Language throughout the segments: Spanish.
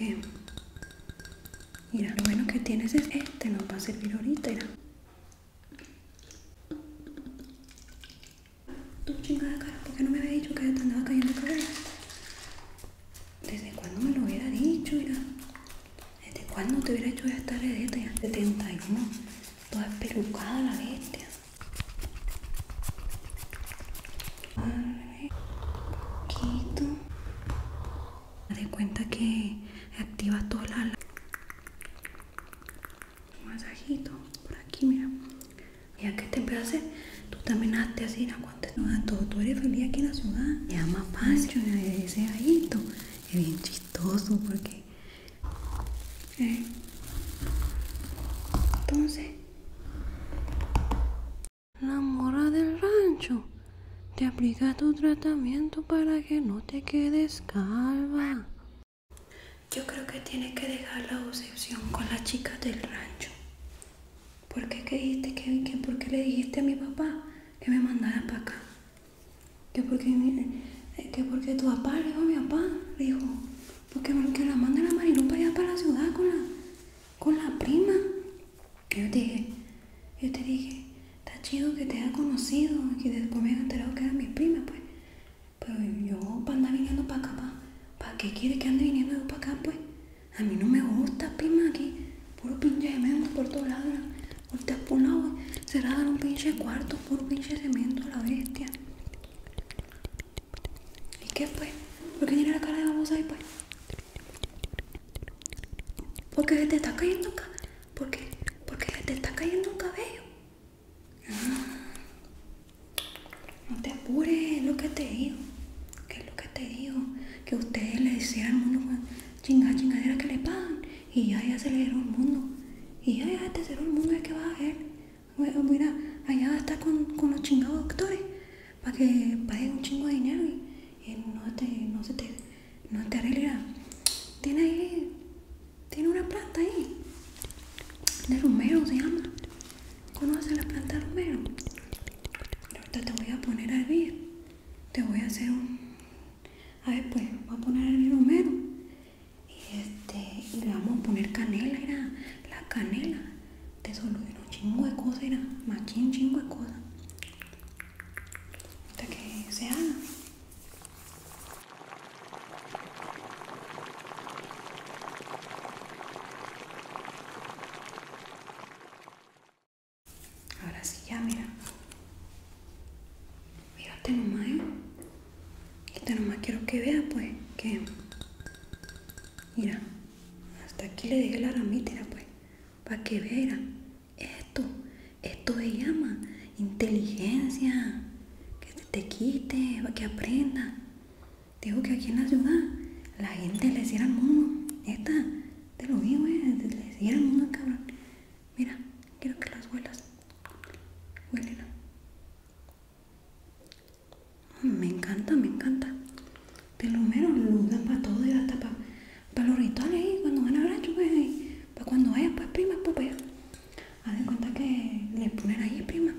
Eh, mira, lo bueno que tienes es este, nos va a servir ahorita. Mira. Tú chingada cara, ¿por qué no me había dicho que te andaba cayendo el cabello? ¿Desde cuándo me lo hubiera dicho? ya. ¿Desde cuándo te hubiera hecho esta ya? 71. Toda pelucada la bestia poquito de cuenta que activa toda la masajito por aquí mira ya que te hacer tú también hazte así no aguantes no todo tú eres feliz aquí en la ciudad ya más fácil ese gallito es bien chistoso porque eh. entonces la mora del rancho te aplica tu tratamiento para que no te quedes calva. Yo creo que tienes que dejar la obsesión con las chicas del rancho. ¿Por qué que, le dijiste a mi papá que me mandara para acá? por porque, ¿Qué porque eh, tu papá le dijo a mi papá, dijo, porque que la manda la y para allá para la ciudad con la, prima. yo te dije, yo te dije, está chido que te haya conocido, que después me haya enterado que eran mi prima pues. Pero yo para andar viniendo para acá, ¿para, que qué quieres que ande viniendo yo para acá, pues? A mí no me gusta, prima, aquí, puro pinche cemento por todos lados, ahorita por un lado, un pinche cuarto, puro pinche cemento, la bestia. ¿Y qué fue? ¿Por qué tiene la cara de babosa ahí pues? Porque qué te está cayendo ¿Por Porque te está cayendo un cabello. Ah. no te apures, es lo que te digo. ¿Qué es lo que te digo? Que ustedes le decían al mundo pues, chingada chingadera que le pagan. Y ya ya se le dieron el mundo. Y ya ya le dieron el mundo es que va a ver mira, allá allá está con, con los chingados doctores para que paguen un chingo de dinero y, no, te, no se te, no te arreglará. Tiene ahí, tiene una planta ahí, de romero se llama. ¿Conoces la planta de romero? Ahorita te voy a poner a hervir, te voy a hacer un... A ver, pues, voy a poner el hervir romero y, este, y le vamos a poner canela, era la canela te de un chingo de cosas, era que un chingo de cosas. Hasta que se haga. Ahora sí, ya mira. mira tengo ¿eh? Y te nomás quiero que vea pues que... Mira, hasta aquí le dejé la ramita, pues. Para que vea, Esto, esto se llama inteligencia. Que se te quite, para que aprenda. Digo que aquí en la ciudad la gente le hiciera el mundo. Esta, te lo digo, eh, le cierra el mundo, cabrón. Mira, quiero que las huelas. huelen me encanta, me encanta. Pelumero, lo para todo y hasta para, los rituales ahí, cuando van pues, a cuando vayan pues prima, hacen pues, pues, Haz de cuenta que le ponen ahí, prima.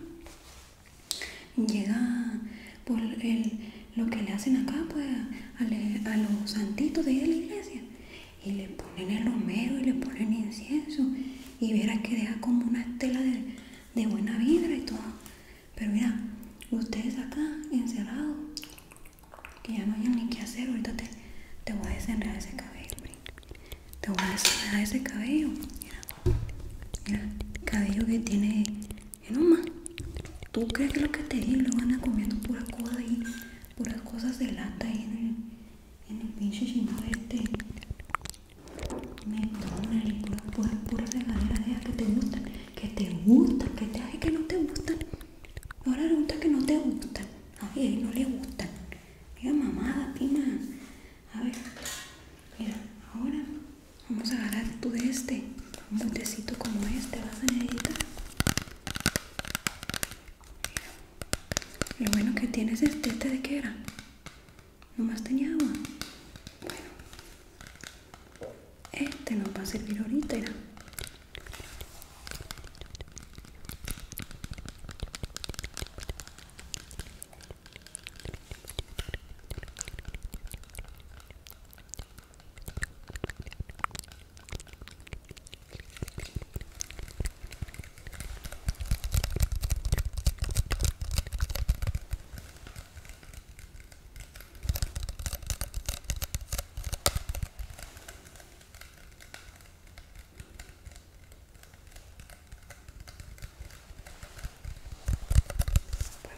Llega por lo que le hacen acá, pues a, los santitos de la iglesia. Y le ponen el romero y le ponen incienso. Y verás que deja como una estela de de buena vibra y todo. Pero mira, ustedes acá encerrados, que ya no hay ni qué hacer, ahorita te, voy a desenredar ese cabello. Te voy a desenredar ese cabello. Mira, el cabello que tiene eh, man ¿Tú crees que lo que te digo van a comiendo puras cosas ahí, puras cosas de lata ahí en el, en el pinche chino este? me una pura, pura, pura manera de que te gustan, que te gustan, que te hacen que no te gustan. Ahora resulta que no te gustan. Ay, no le gustan. Mira, mamada, pima. A ver, mira, ahora vamos a agarrar tú de este. Un botecito como este vas a necesitar. Mira, lo bueno que tienes este, este de qué era no tenía agua. Bueno. Este no va a servir ahorita.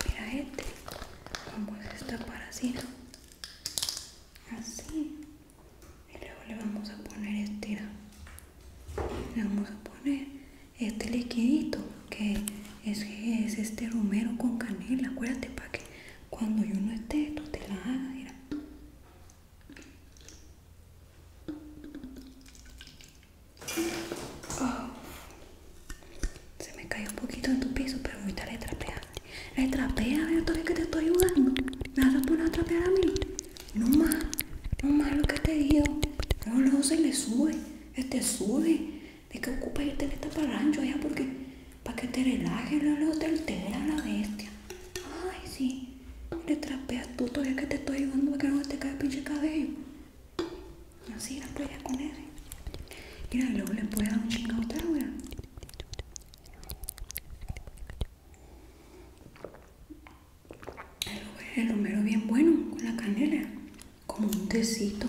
Pues mira este, vamos a esto para así, así y luego le vamos a poner este le vamos a poner este liquidito que es, este romero con canela acuérdate para que cuando yo no esté tú te la hagas oh. se me cayó un poquito en tu piso pero ahorita le trapeaste le trapea a ver todavía que te estoy ayudando me vas a poner a trapear a mí no más, no más lo que te digo. Pero luego se le sube, este sube. De que ocupa el en para parrancho allá porque para que te relajes, luego te altera la bestia. Ay, sí. Le trapeas tú todavía que te estoy ayudando para que no te caiga el pinche cabello. Así la playa con ese, Mira, y luego le puedes dar un chingado otra, weón. El romero bien bueno con la canela, como un tecito.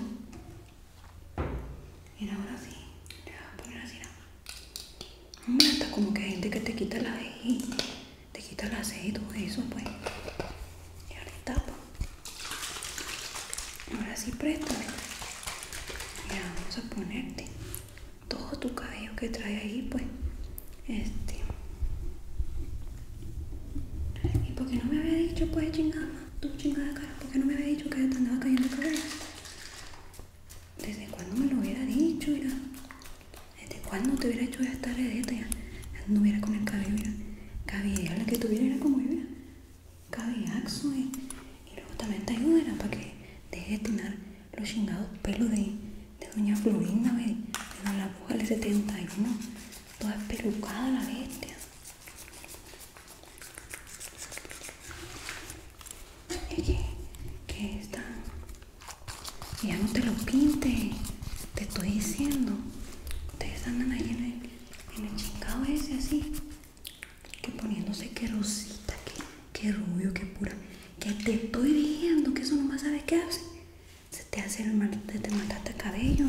y ahora sí, le voy a poner así. Mira, está como que hay gente que te quita la i te quita la aceito y eso, pues. Y ahora tapa. Pues. Ahora sí, préstame. Mira, vamos a ponerte todo tu cabello que trae ahí pues este y porque no me había dicho pues chingada tu chingada cara porque no me había dicho que te andaba cayendo el cabello desde cuando me lo hubiera dicho ya desde cuando te hubiera hecho esta redeta ya no hubiera con el cabello ya que tuviera era como yo ya axo y, y luego también te ayudará para que dejes de tirar los chingados pelos de, doña Florinda, de, la bruja del 71, toda pelucada la bestia. Oye, que, está. Ya no te lo pinte, te estoy diciendo. Ustedes andan ahí en el, chingado ese así. Que poniéndose que rosita, que rubio, que pura que te estoy diciendo que eso no más sabes qué hace. Se te hace el mal, te, te mataste el cabello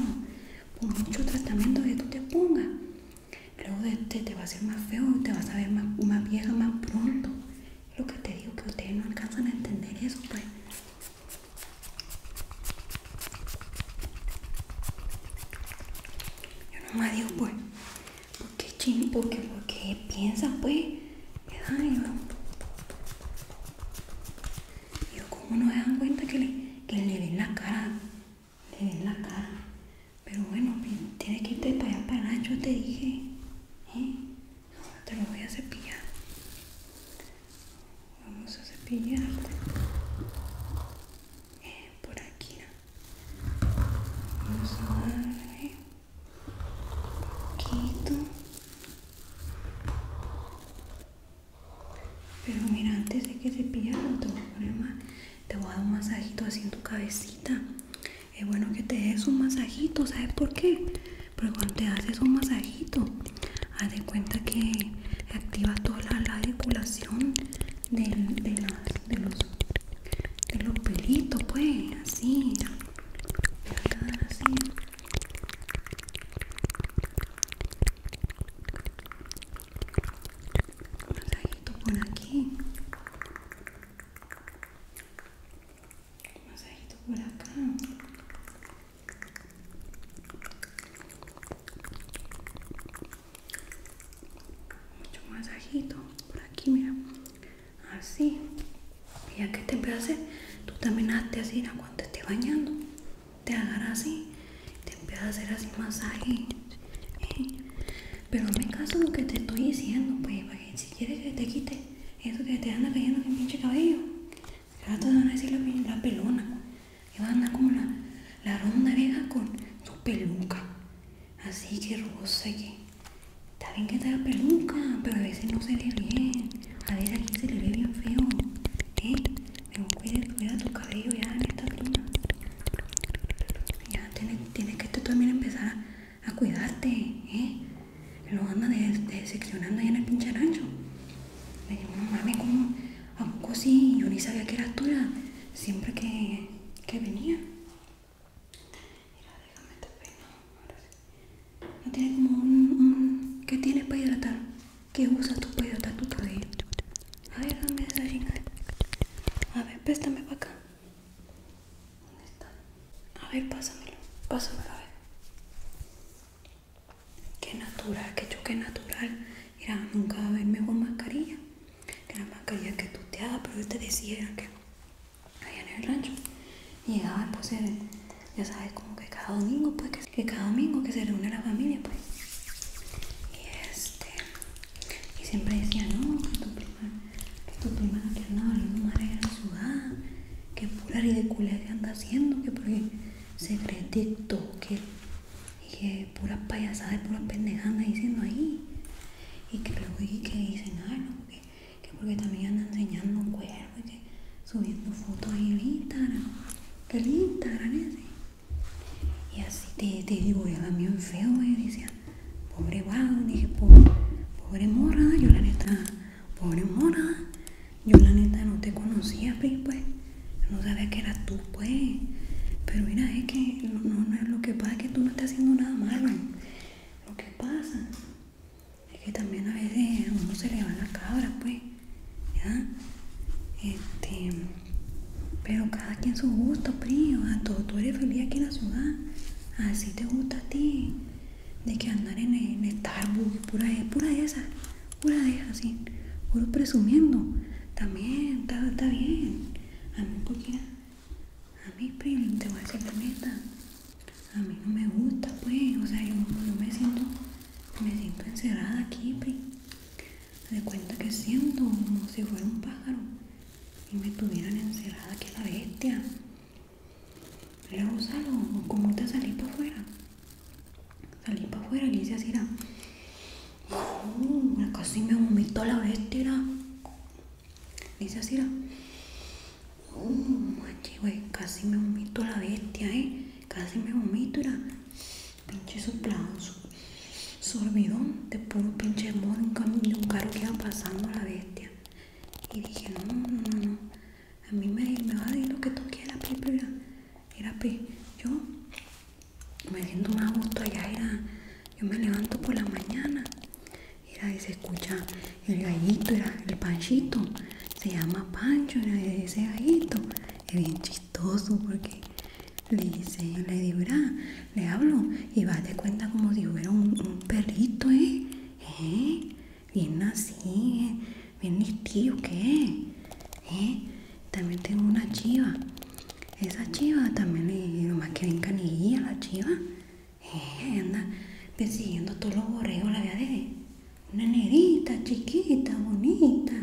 por mucho tratamiento que tú te pongas. Luego este te va a hacer más feo, y te vas a ver más, más vieja más pronto. Es lo que te digo, que ustedes no alcanzan a entender eso, pues. Yo no nomás digo, pues, qué chino, porque, porque piensa pues, qué daño Yo como no se dan cuenta que le, que ven la cara, le ven la cara. Pero bueno, pues, tiene que irte para allá yo te dije. Ahora ¿Eh? te lo voy a cepillar. Vamos a cepillarte. Eh, por aquí poquito. Pero mira, antes de que se pierda te voy a dar un masajito así en tu cabecita. Es bueno que te des un masajito, ¿sabes por qué? Porque cuando te haces un masajito, haz de cuenta que activa toda la, la de los pelitos, pues, así, voy a quedar así un masajito por aquí un masajito por acá mucho masajito por aquí mira así ah, y ya que te empiezas tú también hazte así cuando te estés bañando te agarras así te empiezas a hacer así masaje pero pero me caso lo que te estoy diciendo pues si quieres que te quite eso que te anda cayendo en el pinche cabello te van a decir la, pelona y van a andar como la, la ronda vieja con su peluca así que rosa que está bien que te la peluca pero a veces no se ve bien a veces aquí se le ve bien feo eh cuida, tu cabello ya en esta prima ya tienes, que tú también empezar a, cuidarte eh lo anda decepcionando seccionando allá en el pinche rancho le digo como a poco sí yo ni sabía que era tuya siempre que que venía Mira, déjame te peino. Ahora No tiene como un, un... ¿Qué tienes para hidratar? ¿Qué usas tú para hidratar tu cabello? A ver, dame esa chingada. A ver, préstame para acá. ¿Dónde está? A ver, pásamelo. Pásamelo, a ver. Qué natural, qué choque natural. Mira, nunca va a haber mejor mascarilla que la mascarilla que tú te hagas, pero yo te decía que ahí en el rancho. Y llegaban pues, ya sabes, como que cada domingo, pues, que, cada domingo que se reúne la familia, pues. Y este, y siempre decía no, que tu prima, que tu prima que andaba madre en la ciudad, que pura ridiculez que anda haciendo, que porque se que, y que pura payasada y pura pendejada diciendo ahí y que, pero que, que dicen no que, que porque también andan enseñando un cuerpo y subiendo fotos ahí en Instagram, que el Instagram Y así te, te mío en feo, y decía, pobre y dije, pobre, pobre morra, yo la neta, pobre morra, yo la neta no te conocía, pues, no sabía que eras tú, pues. Pero mira, es que no, no, lo que pasa es que tú no estás haciendo nada malo. Lo que pasa es que también a veces uno se le va la cabra, pues, ¿ya? Este, pero cada quien su gusto, primo, a sea, tú, eres feliz aquí en la ciudad, así te gusta a ti, de que andar en, Starbucks, pura, pura de esas, pura de esas, así, puro presumiendo, también está, está bien, a mí porque a mí, pri, te voy a decir la neta. A mí no me gusta, pues. O sea, yo, me siento, me siento encerrada aquí, pri Me doy cuenta que siento como si fuera un pájaro y me tuvieran encerrada aquí la bestia. Luego salgo, como te salí para afuera. Salí para afuera y le así, era. ¡uh! casi me vomitó la bestia. Y dice así, Uh, güey, casi me vomito la bestia, ¿eh? Casi me vomito, la pinche soplazo, sorbidón de un pinche modo un, camino un carro que iba pasando la bestia. Y dije, no, no, no, a mí me, va a decir lo que toque la pi, era, Yo me siento más a allá, era, yo me levanto por la mañana, era, y se escucha el gallito, era el panchito, se llama Pancho, ese gallito, es bien chistoso porque le dice, le le hablo y vas de cuenta como si hubiera un, perrito, ¿eh? ¿eh? Bien nacido ¿eh? bien listillo que ¿eh? También tengo una chiva, esa chiva también le nomás que ven canilla la chiva. Eh, anda persiguiendo todos los borregos, la vea de una nerita chiquita, bonita.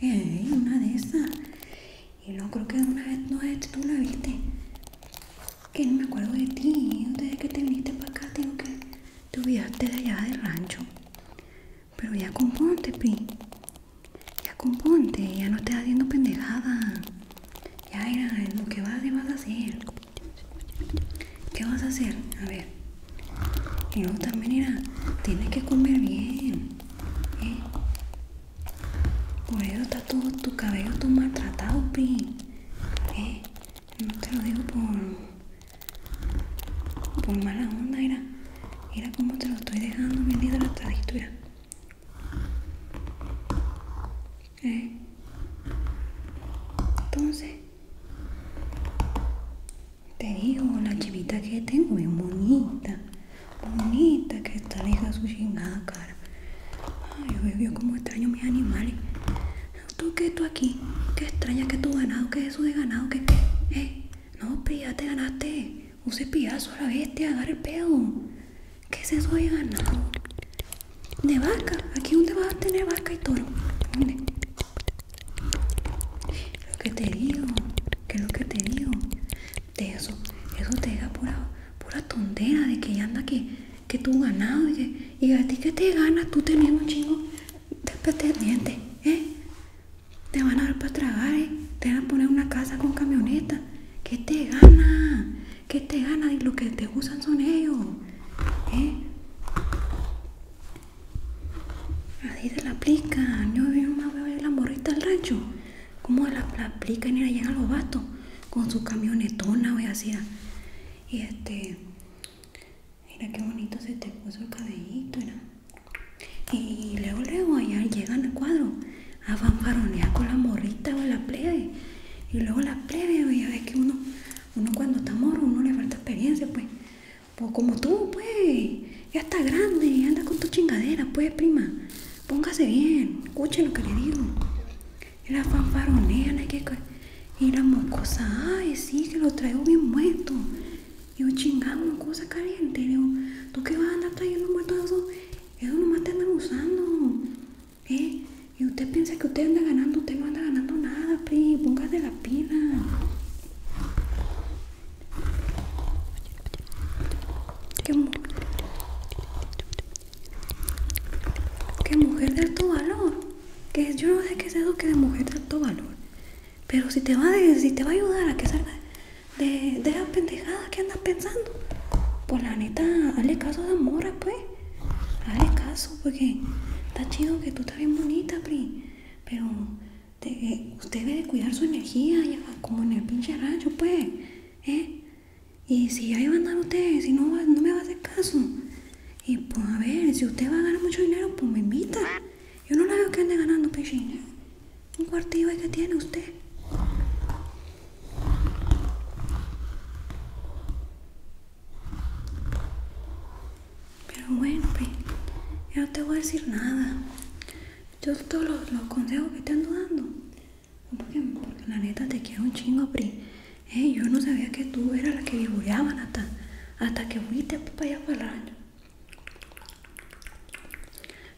Eh, una de esas. Y no creo que de una vez, no es tú la viste. Que no me acuerdo de ti. Desde que te viniste para acá, tengo que te olvidaste de allá del rancho. Pero ya componte, pin. Ya componte, ya no estés haciendo pendejada. Ya era, lo que vas a hacer. ¿Qué vas a hacer? A ver. Y luego también mira, tienes que comer bien. ¿eh? Por eso está todo tu cabello todo maltratado, pi ¿eh? No te lo digo por. por mala onda, era. Mira cómo te lo estoy dejando bien la mira. Entonces, te digo, la chivita que tengo es bonita, bonita, que está de su chingada cara. Ay, yo veo como extraño mis animales. Tú que tú aquí, que extraña que tu ganado, que eso de ganado, que... Eh? no, pero ya te ganaste Use cepillazo a la bestia, agarra el pedo. ¿Qué es eso de ganado? De vaca. ¿Aquí dónde vas a tener vaca y toro? ¿Dónde? Lo que te digo, ¿qué es lo que te digo. De eso, eso te deja pura, pura tontera de que ya anda que, que tú ganado y, y a ti que te ganas tú teniendo un chingo de ¿eh? Te van a dar para tragar, eh. Te van a poner una casa con camioneta. ¿Qué te gana? ¿Qué te gana? Y lo que te usan son ellos. ¿Eh? Así se la aplican. Yo veo más veo la morrita del rancho. como la, aplican y la llegan los bastos Con su camionetona, o así. Ah. Y este. Mira qué bonito se te puso el cabellito, y luego, luego, allá llegan al cuadro a ah, fanfaronear con la morrita o la plebe. Y luego la plebe, ya ves que uno, uno cuando está morro, uno le falta experiencia, pues. Pues como tú, pues, ya está grande, anda con tu chingadera, pues, prima. Póngase bien, escuche lo que le digo. Y la fanfaronea, hay que... Y la moscosa, ay, sí, que lo traigo bien muerto. Y un chingamos, cosa caliente. ¿Tú qué vas a andar trayendo muertos esos? Eso nomás te andan usando. ¿Eh? Y usted piensa que usted anda ganando, usted no anda ganando nada, pri, póngase la pila. ¿Qué, ¿Qué mujer de alto valor? Que yo no sé qué es eso que de mujer de alto valor. Pero si te va, si te va a ayudar a que salga de, las pendejadas que andas pensando. Pues la neta, hazle caso a esa pues. Hazle caso, porque está chido que tú estás bien bonita, Pri. Pero usted debe de cuidar su energía, ya, como en el pinche rayo pues. ¿Eh? Y si ahí van a andar ustedes si no, no me va a hacer caso. Y pues a ver, si usted va a ganar mucho dinero, pues me invita. Yo no la veo que ande ganando, pinche pues, un cuartillo que tiene usted. Pero bueno, Pri, pues, ya no te voy a decir nada. Yo todos los, consejos que te ando dando. Porque, la neta te quiero un chingo, Pri. Eh, yo no sabía que tú eras la que vivoreaban hasta, hasta que fuiste pues, para allá para el rayo.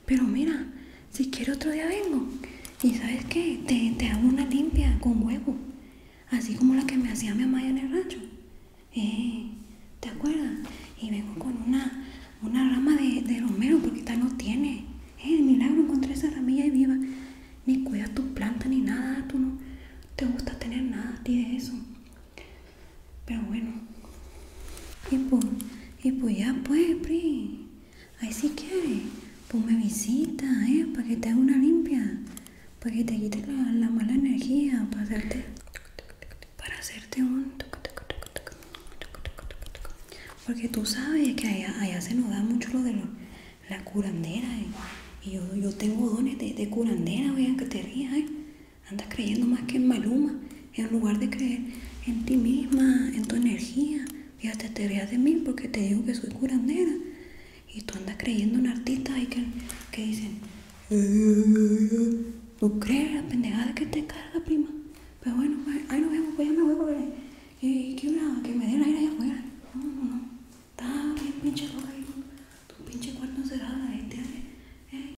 Pero mira, si quiero otro día vengo. Y sabes que, te, hago una limpia con huevo. Así como la que me hacía mi mamá en el rancho. Eh, ¿Te acuerdas? Y vengo con una, rama de, romero porque tal no tiene. Eh, milagro, encontré esa ramilla y viva. Ni cuidas tus plantas ni nada, tú no te gusta tener nada tienes de eso. Pero bueno. Y pues, ya pues, Pri. Ahí si sí quieres, pues me visita, ¿eh? Para que te haga una limpia. Para que te quite la, mala energía, para hacerte... Para hacerte un... Porque tú sabes que allá, se nos da mucho lo de la curandera. Eh. Y yo, tengo dones de, curandera, vean que te rías, ¿eh? Andas creyendo más que en Maluma, en lugar de creer en ti misma, en tu energía. Fíjate, te veas de mí porque te digo que soy curandera. Y tú andas creyendo en artistas y que, que dicen, no eh, eh, eh, crees la pendejada que te carga, prima. Pero bueno, ay no, vemos, pues ya me voy porque que, una, que me den aire allá afuera. No, no, no. Está bien pinche loca ahí, tu pinche cuarto este,